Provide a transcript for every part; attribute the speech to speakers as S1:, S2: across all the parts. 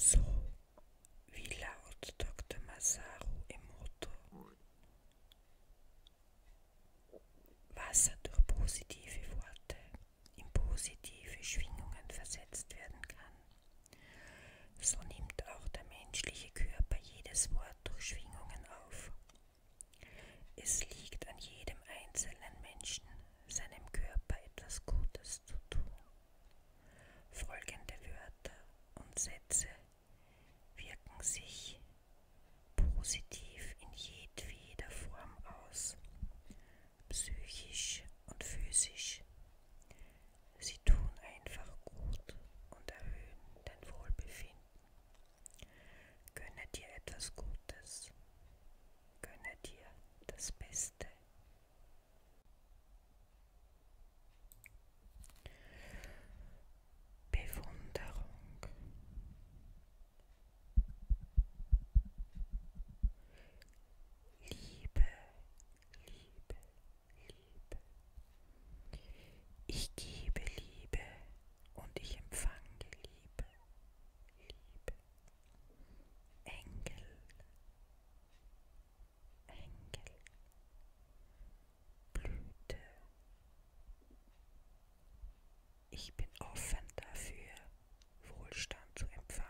S1: So wie laut Dr. Masaru Emoto. Wasser durch positive Worte in positive Schwingungen versetzt werden kann. So nimmt auch der menschliche Körper jedes Wort durch Schwingungen auf. Es liegt an jedem einzelnen Menschen, seinem Körper etwas Gutes zu tun. Folgende Wörter und Sätze wirken sich positiv in jedweder Form aus, psychisch und physisch Sie tun einfach gut und erhöhen dein Wohlbefinden. Gönne dir etwas Gutes. Gönne dir das Beste. Bewunderung. Liebe Liebe, Liebe. Ich gebe Liebe und ich empfange Liebe, Liebe. Engel, Engel. Blüte. Ich bin offen dafür, Wohlstand zu empfangen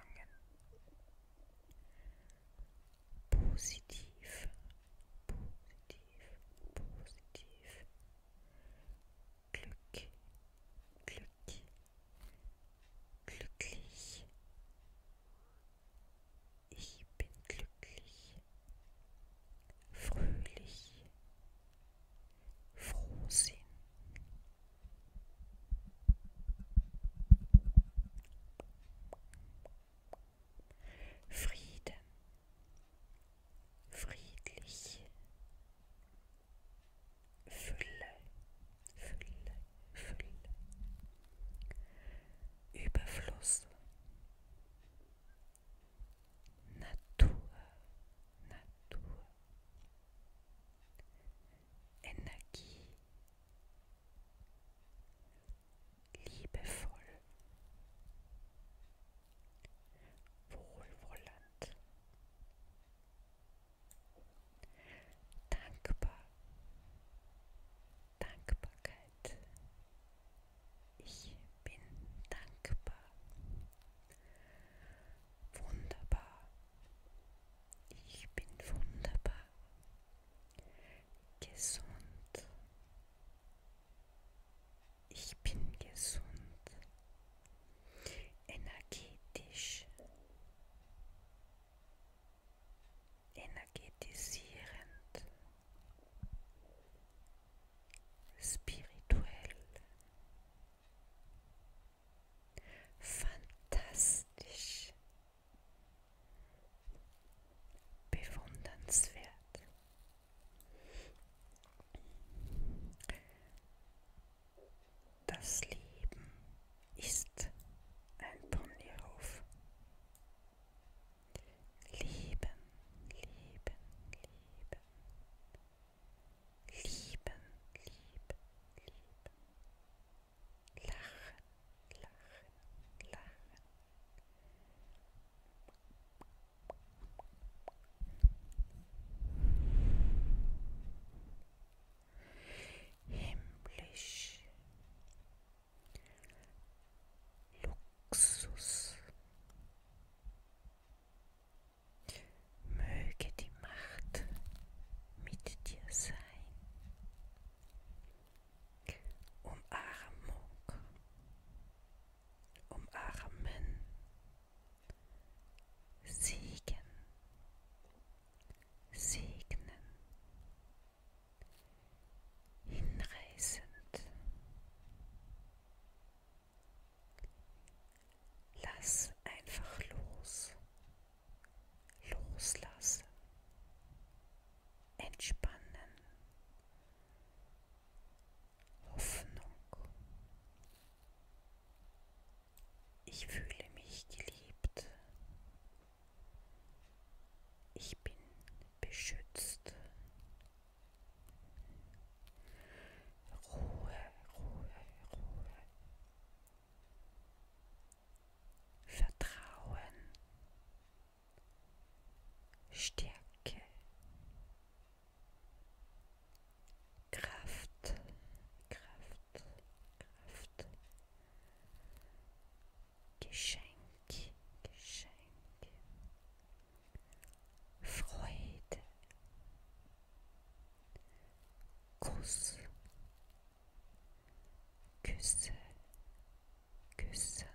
S1: positiv, positiv, positiv, Glück, Glück, glücklich. Ich bin glücklich, fröhlich, frohsinn. Frieden, friedlich, Fülle, Fülle, Fülle, Überfluss, Natur, Natur. Energie, liebevoll, wohlwollend, dankbar, Dankbarkeit. Ich bin dankbar, wunderbar, ich bin wunderbar, gesund. Ich bin gesund, energetisch, energetisierend, spirituell fantastisch, bewundernswert. Das Leben ist ein Ponyhof. Lieben, lieben, lieben. Lieben, lieben, lieben lachen, lachen, lachen. Himmlisch, Luxus, möge die Macht mit dir sein. Umarmung, umarmen, Segen, segnen, hinreißend. Lass einfach los loslassen, entspannen, Hoffnung. Ich fühle mich geliebt. Ich bin beschützt. Ruhe, Ruhe, Ruhe. Vertrauen, Stärke, Kraft, Kraft, Kraft, Geschenk, Geschenk, Freude, Kuss, Küsse, küssen.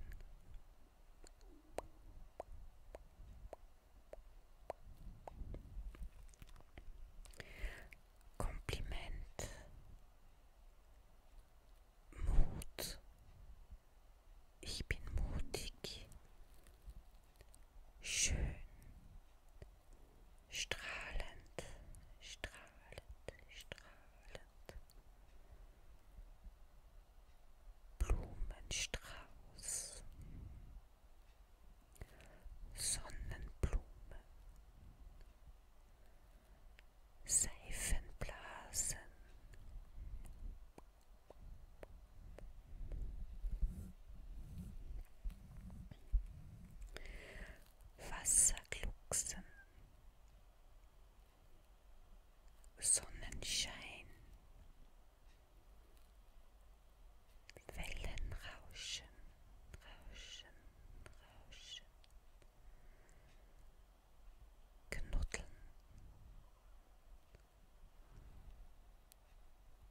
S1: Kompliment, Mut. Ich bin mutig. Schön, strahlend, strahlend, strahlend. Blumenstrauß, Sonnenblume, Seifenblasen. Wasserglucksen, Sonnenschein, Wellenrauschen, Rauschen, Rauschen, Knuddeln,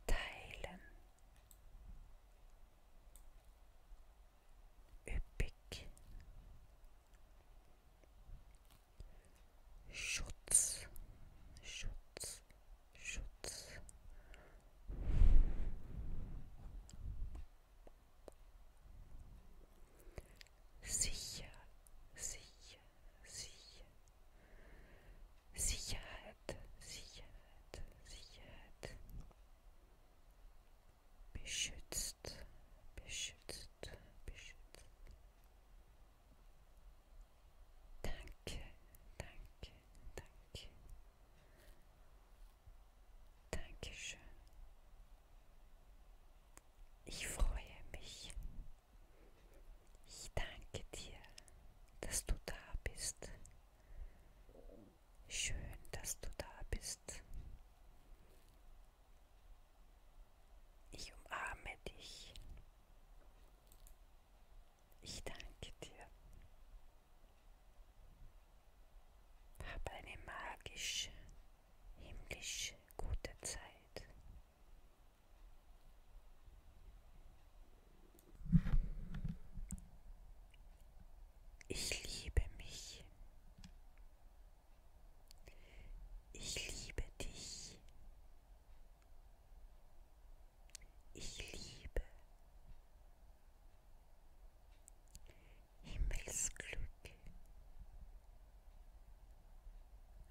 S1: Teilen, üppig, Schutz, Schutz, Schutz. Sicher, sicher, sicher. Sicherheit. Sicherheit, Sicherheit, Sicherheit. Beschützt, beschützt, beschützt. Danke, danke, danke. Dankeschön. Ich freue mich. Ich danke dir, dass du da bist. Schön, dass du da bist. Ich umarme dich. Ich danke dir. Hab eine magisch, himmlisch gute Zeit. Ich liebe mich. Ich liebe dich. Ich liebe Himmelsglück,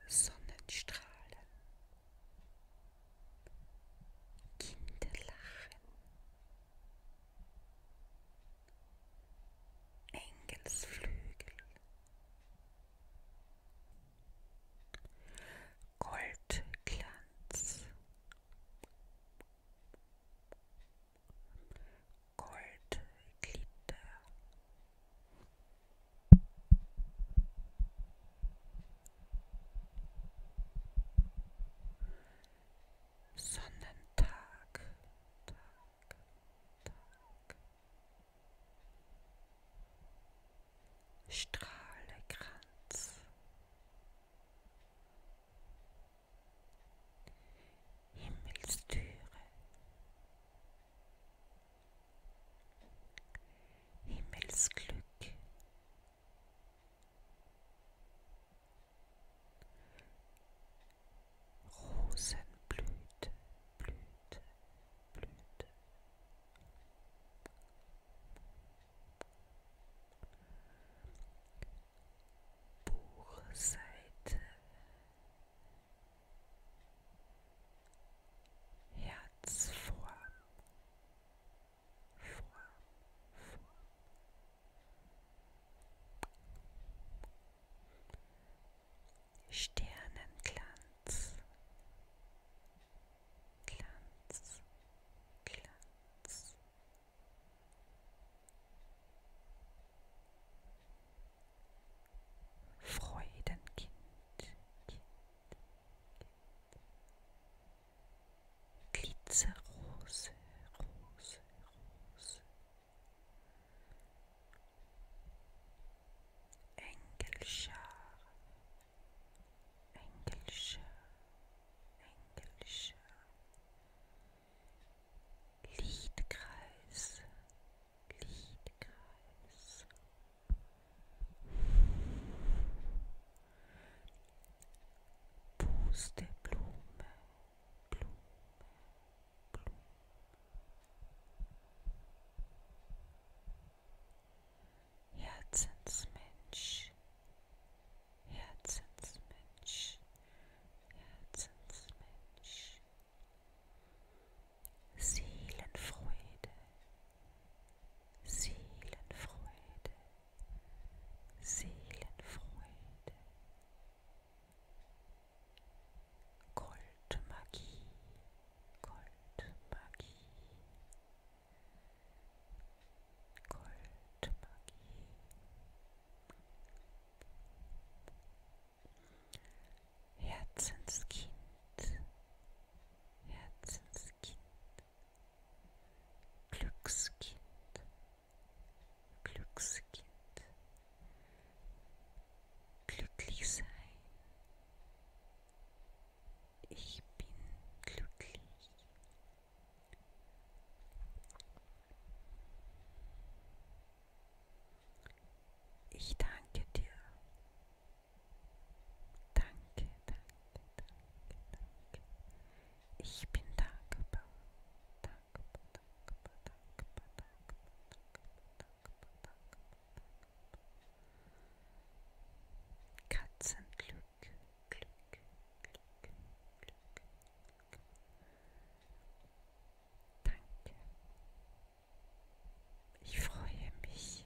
S1: Sonnenstrahlen, Kinderlachen. Engelsflügel. Goldglanz. Goldglitter. Sonnentag, Tag, Tag. Strahlekranz. Himmelstüre. Himmelsglück, Rosenblüte, Blüte, Blüte. Buchseite, Herzform, Sternenglanz, Glanz, Glanz. Freudenkind, Kind, Glitzerrose, Rose, Rose. Engelschar, Engelschar, Engelschar. Liedkreis, Liedkreis, Puste Blume, Blume, Blume. Herzensmensch, Herzensmensch, Herzensmensch. Seelenfreude, Seelenfreude, Seelenfreude, Goldmagie, Goldmagie, Goldmagie. Herzenskind, Herzenskind, Glückskind, Glückskind, glücklich sein. Ich bin glücklich. Ich danke dir. Danke, danke, danke, danke. Ich bin dankbar. Dankbar, dankbar, dankbar, dankbar, dankbar, dankbar. Katzenglück, Glück, Glück, Glück, Glück. Danke. Ich freue mich.